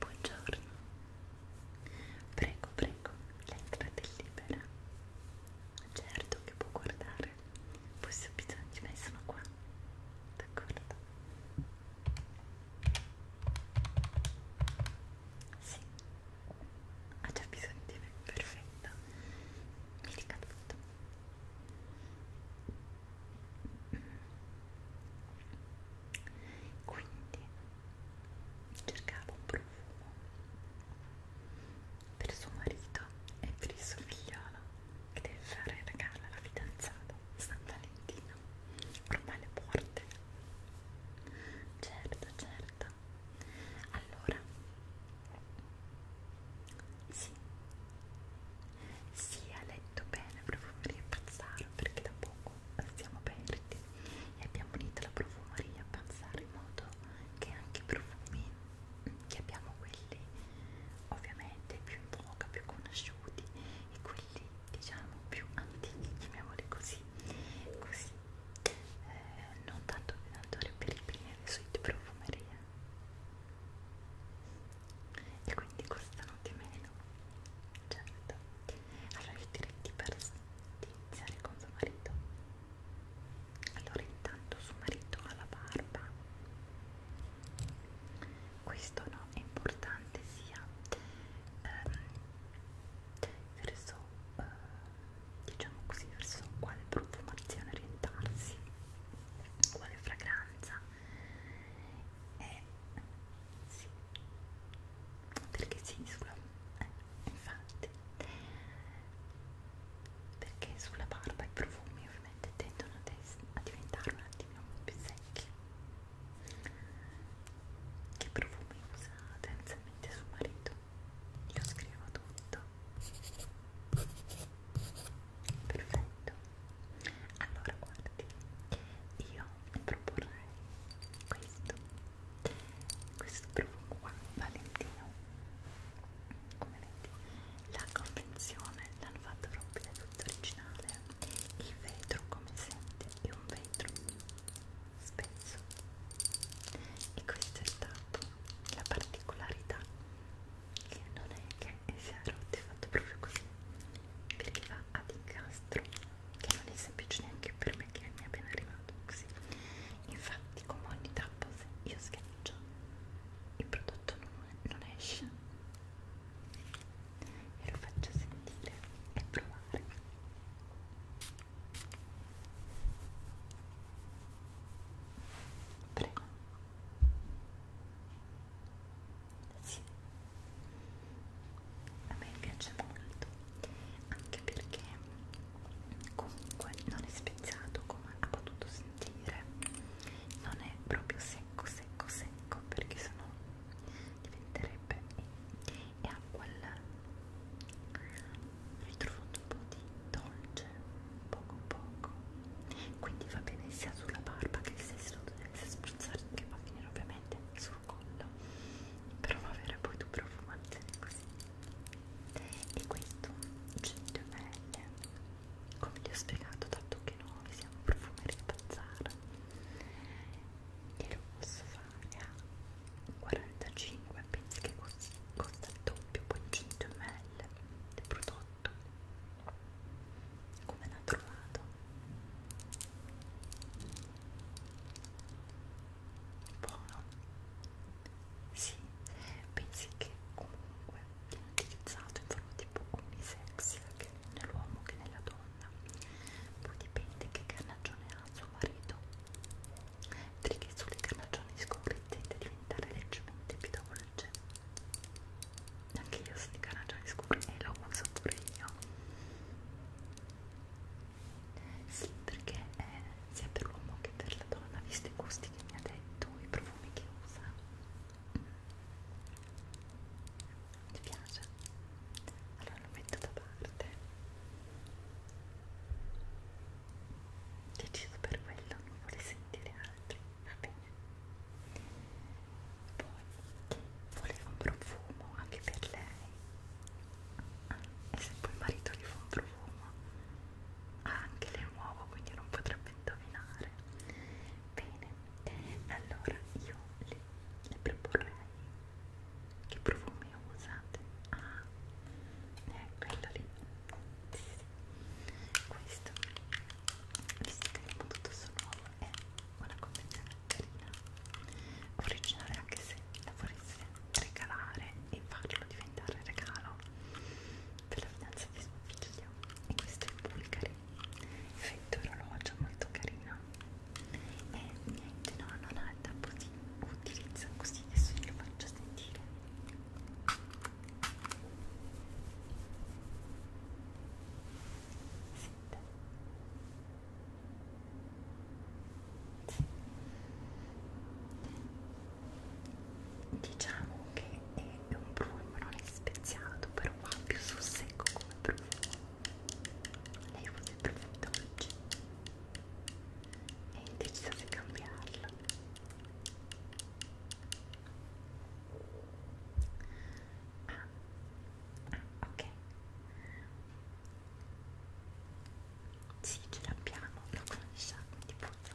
Buongiorno, prego, prego, prego, l'entrata è libera. Certo che può guardare, poi se ho bisogno di me sono qua, d'accordo? Sì, ha già bisogno di me, perfetto. Mi dica tutto. Quindi cercava un profumo per suo marito e per il suo figliolo che deve fare regalo alla fidanzata San Valentino ormai le porte certo certo allora sì sì ha letto bene profumeria pazzaro perché da poco stiamo aperti profumatori e abbiamo unito la profumeria a pensare in modo che anche i profumi mm, che abbiamo quelli ovviamente più in voga, più conosciuti e quelli diciamo più antichi, chiamiamoli così, così eh, non tanto dominatore per i primi suite profumeria e quindi costano di meno certo allora io direi di, per, di iniziare con suo marito allora intanto suo marito ha la barba questo no è importante sia ehm, verso eh, diciamo così verso quale profumazione orientarsi quale fragranza e sì perché sì sulla eh, infatti perché sulla barba i profumi ovviamente tendono a, a diventare un attimino più secchi che profumi usa tendenzialmente suo marito? io scrivo tutto perfetto allora guardi io proporrei questo questo profumo qua Valentino come vedi la confezione l'hanno fatto proprio tutto originale il vetro come sente è un vetro spesso e questo è stato la particolarità che non è che sia rotto è fatto proprio così perché va ad incastro che non è semplice neanche per perché mi è appena arrivato così infatti con molti tappos io schiaccio il prodotto non, non esce e lo faccio sentire e provare prego sì a me piace molto anche perché comunque non è speziato come ha potuto sentire non è proprio secco secco secco perché sennò diventerebbe e ha quel ritrovato un po' di dolce poco poco quindi va bene sia sulla barba che se si dovesse spruzzare che va a finire ovviamente sul collo per non avere poi tu profumazione così e questo genio belle come vi ho spiegato dato che noi siamo profumeri bazzar e lo posso fare a 45 pensi che così costa il doppio poi 100 ml del prodotto come l'ha trovato buono sì, pensi che comunque viene utilizzato in forma tipo unisex che nell'uomo che nella donna poi dipende che carnagione ha suo marito perché sulle carnagioni scure tende a diventare leggermente più dolce anche io sono di carnagioni scure e lo uso pure io sì, perché eh, sia per l'uomo che per la donna, visto i gusti che mi ha detto, i profumi che usa. Ti piace? Allora lo metto da parte. Deciso per quello, non vuole sentire altri, va bene. Poi volevo un profumo anche per lei. Ah, e se poi il marito gli fa un profumo anche le nuovo quindi non potrebbe indovinare bene allora io le, le proporrei che profumi usate ah è quello lì sì, sì. questo visto che è tutto su nuovo è una convenzione carina originale anche se la foresta regalare e farlo diventare regalo per la fidanza di sua figlia e questo è il Bulgari effetto orologio molto carino e niente no non ha il tapposino utilizza così adesso glielo faccio sentire Senta. Sì diciamo che è un profumo non è speziato però va più sul secco come profumo lei usa i profumi dolci è indecisa se cambiarlo ah, ah ok sì, ce l'abbiamo, lo conosciamo di puzza.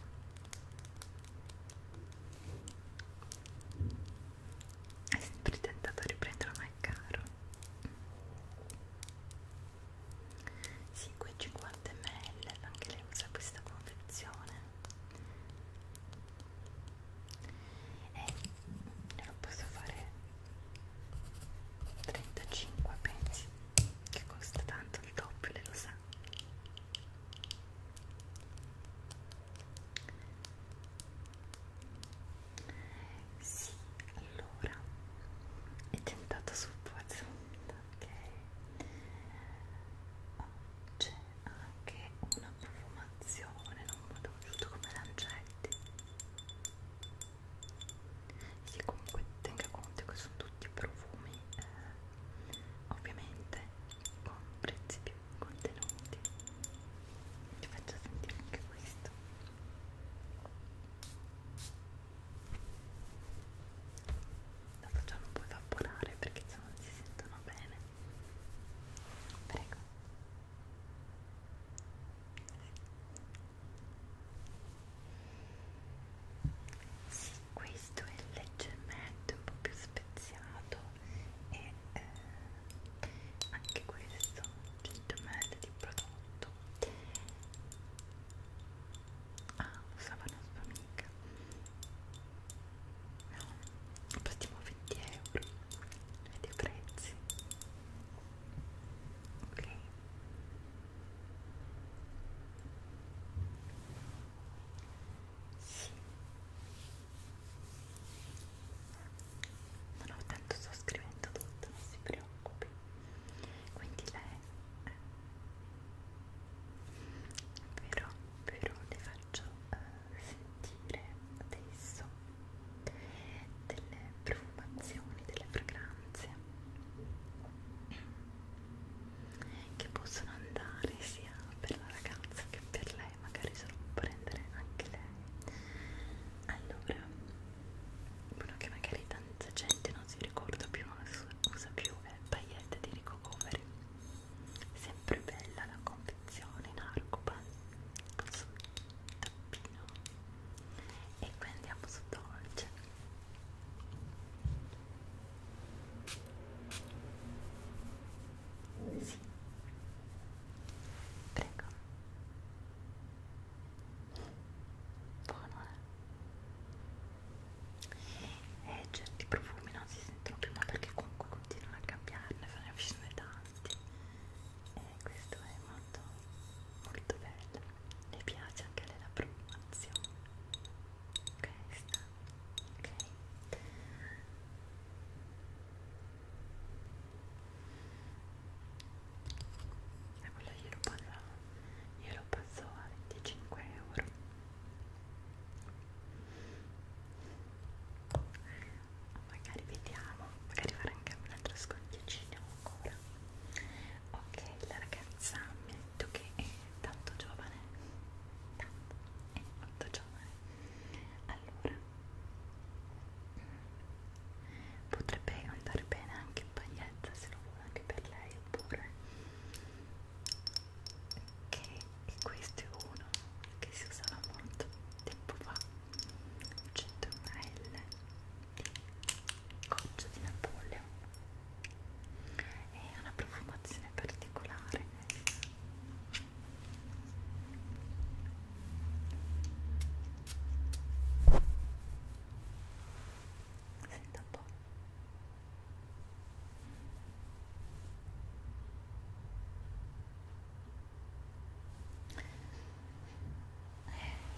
Hai eh, sempre tentato riprenderlo, ma è caro. Sì, qui 50 ml, anche lei usa questa confezione. E eh, lo posso fare 35 pensi che costa tanto il doppio, lei lo sa sì, allora è tentato sul pozzamento, ok? Oh, C'è anche una profumazione, non vado giusto come lancetti. Sì, comunque tenga conto che sono tutti profumi eh, ovviamente con prezzi più contenuti ti faccio sentire anche questo lo facciamo un po' evaporare perché se non si sentono bene prego sì, questo è leggermente un po' più speziato e eh, anche questo leggermente di prodotto ah usava una sua amica no pastiamo 20 euro vedi i prezzi ok sì. Non ho tanto sto scrivendo tutto, non si preoccupi. Quindi lei però, però le faccio uh, sentire adesso delle profumazioni, delle fragranze che possono andare sia per la ragazza che per lei, magari solo prendere anche lei. Allora, quello che magari tanta gente non si ricorda più, non lo usa più, è il paillette di Ricocovery. Sempre bella la confezione in arcopan con sul tappino. E qui andiamo su dolce sì. Prego. Buono, eh? E certi profumi non si sentono più, ma perché comunque continuano a cambiarne, fanno avvicine tanti. E eh, questo è molto, molto bello. Mi piace anche la profumazione. Questa ok e quello glielo passo, glielo passo a 25 euro magari vediamo magari farò anche un altro sconticino ancora ok la ragazza mi ha detto che è tanto giovane tanto, è molto giovane allora potrebbe andare bene anche in paglietta se lo vuole anche per lei oppure che questo è uno che si usava molto tempo fa un 100 ml di goccia di Napoleon e ha una profumazione particolare senta un po'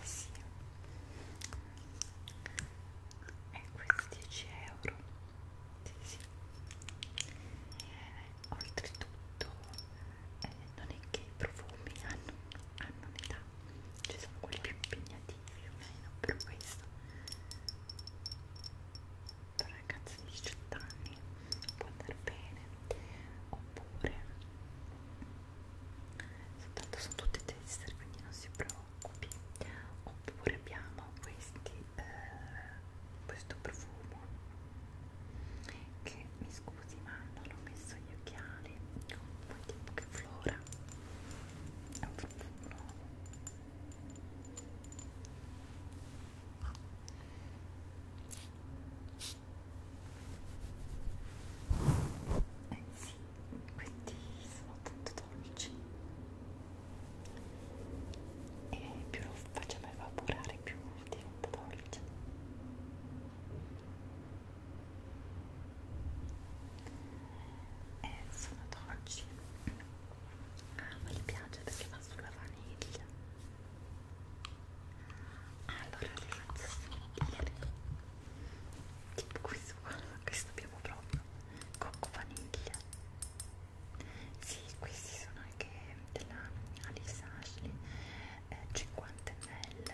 eh sì e questi 10 euro sì, sì. Eh, oltretutto eh, non è che i profumi hanno, hanno un'età ci sono quelli più impegnativi o meno però questo per ragazzi di 18 anni può andare bene oppure soltanto sono tutte tester quindi non si prova occupi oppure abbiamo questi eh, questo profumo che mi scusi ma non ho messo gli occhiali comunque tipo che flora è un profumo nuovo eh sì, questi sono tanto dolci e più lo facciamo evaporare più diventa dolce e eh, sono dolci ah ma gli piace perché va sulla vaniglia allora li faccio sentire tipo questo qua questo abbiamo proprio cocco vaniglia sì, questi sono anche della Alice Ashley, eh, 50 ml,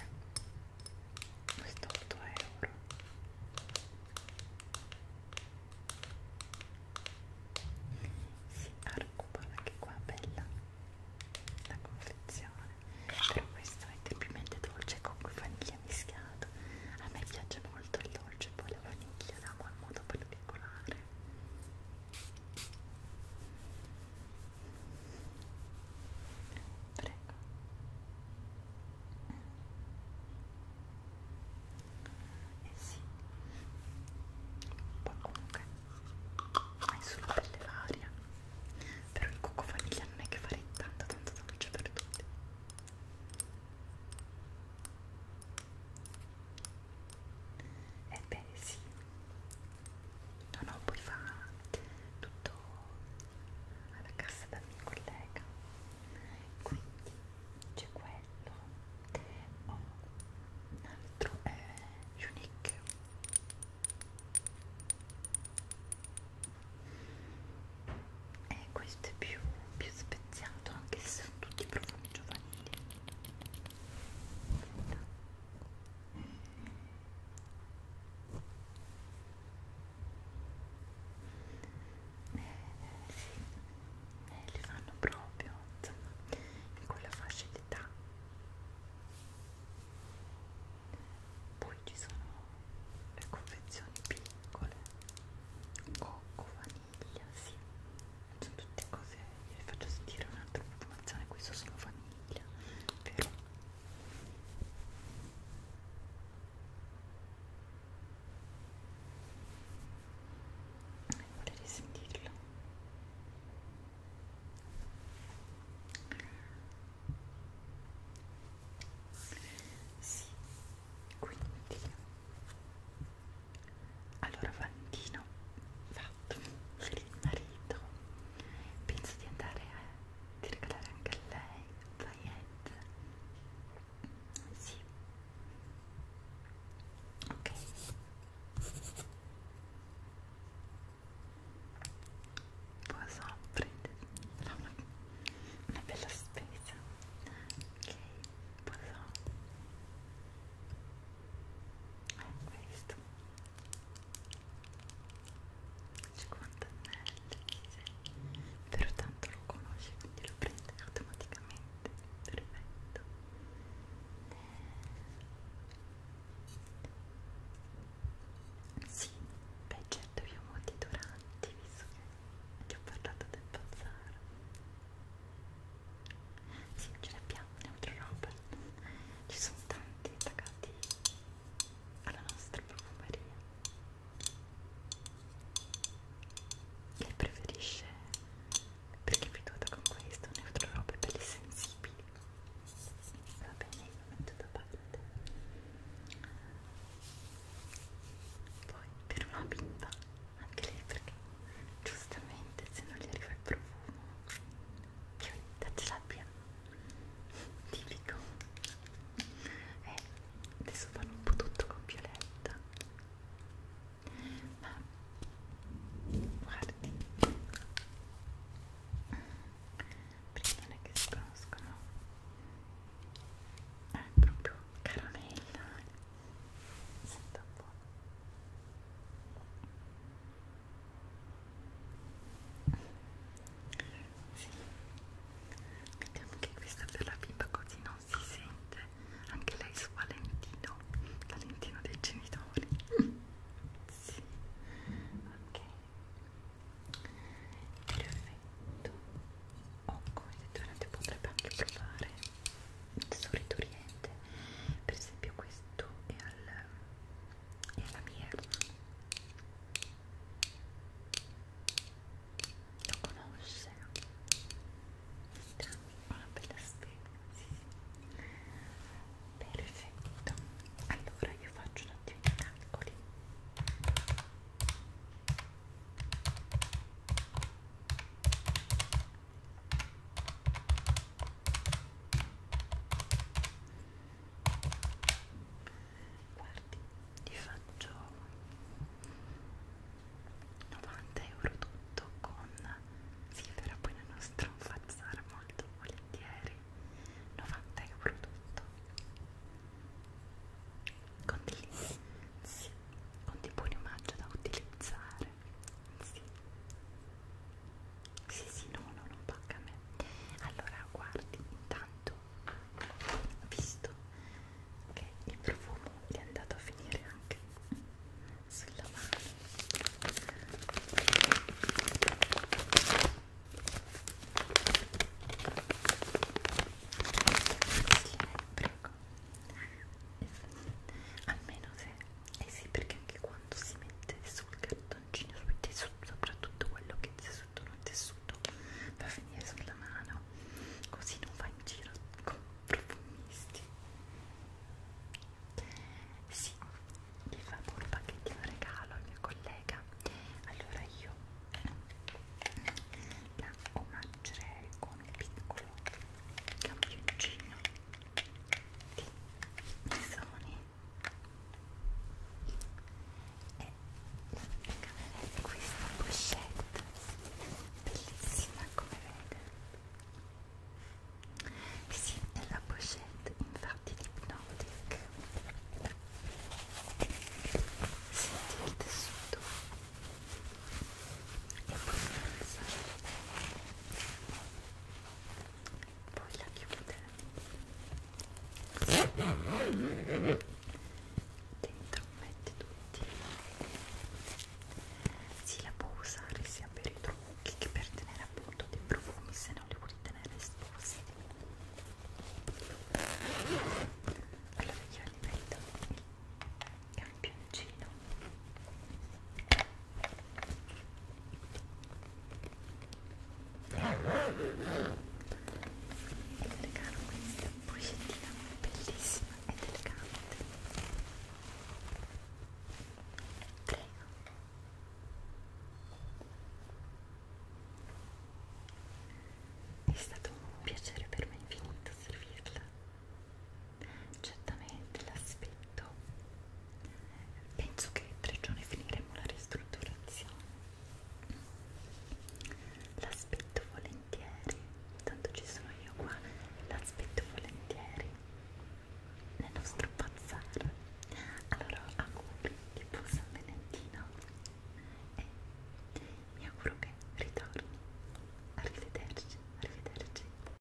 questo 8 euro. Sì, Arcupol anche qua, bella la confezione, però questo è tipicamente dolce con cui vaniglia mischiato. A me piace molto il dolce, poi le chiediamo in modo particolare prego eh sì poi comunque hai solo pelle varia però il cocco vaniglia non è che farei tanto tanto dolce per tutti Ebbene eh sì, no no, poi fa tutto alla cassa da mio collega, quindi c'è quello, ho oh, un altro è eh, Unique e eh, questo è più più speziato anche se sono tutti profumi giovanili eh, sì, eh, li fanno proprio insomma in quella fascia d'età poi ci sono le confezioni piccole cocco, vaniglia famiglia, sì. Sono tutte cose, vi faccio sentire un'altra informazione, questo sono famiglia, vero? Eh, Volete sentirlo? Sì, quindi allora Valentino fatto sei il marito penso di andare a ti regalare anche a lei paillette sì ok Poisson prende una, una bella spesa ok passò è questo 50 anelli però tanto lo conosce quindi lo prende automaticamente perfetto sì, beh certo vi ho molti duranti visto che ti ho parlato del bazar sì, ce ne abbiamo, ne altre robe. Ci sono tanti attaccati alla nostra profumeria. Lei preferisce perché vi dovuta con questo, ne altre robe belli sensibili. Va bene, io lo metto da parte. Poi per una bimba anche lì perché giustamente se non gli arriva il profumo Violetta ce l'abbia tipico e eh, adesso fanno un po' tutto con Violetta ma guardi perché non è che si conoscono è proprio caramella sento un po' sì. vediamo che questa per la bimba così non si sente anche lei su Valentino Valentino dei genitori sì ok perfetto o oh, come detto potrebbe anche provare sorridente per esempio questo è, al, è alla mierda lo conosce una bella spesa sì, sì. perfetto allora io faccio un attimo i calcoli guardi ti faccio 90 euro tutto con silvera poi nel nostro fazzar molto volentieri 90 euro tutto con dei, sì, con dei buoni omaggio da utilizzare sì. Sì, sì, no, no, non pacca a me. Allora, guardi, intanto, visto che il profumo gli è andato a finire anche sulla mano. Sì, prego bocca almeno se eh sì perché anche quando si mette sul cartoncino sul tessuto soprattutto quello che è sotto non tessuto va a finire sulla mano così non va in giro con profumisti sì mi fa un pacchettino regalo il mio collega allora io la omaggerei con il piccolo campioncino di Sony e avete questa pochette bellissima come vedete sì, è la pochette infatti di Hypnotic sentite il tessuto e poi pensare poi la chiude dentro metti tutti si la può usare sia per i trucchi che per tenere appunto dei profumi se non li vuoi tenere esposti allora io li metto campioncino e regalo questa boccettina bellissima ed elegante prego è stato un piacere per me infinito servirla certamente l'aspetto penso che tre giorni finiremo la ristrutturazione l'aspetto volentieri tanto ci sono io qua l'aspetto volentieri nel nostro bazar allora auguri di buon San Valentino e mi auguro che ritorni arrivederci arrivederci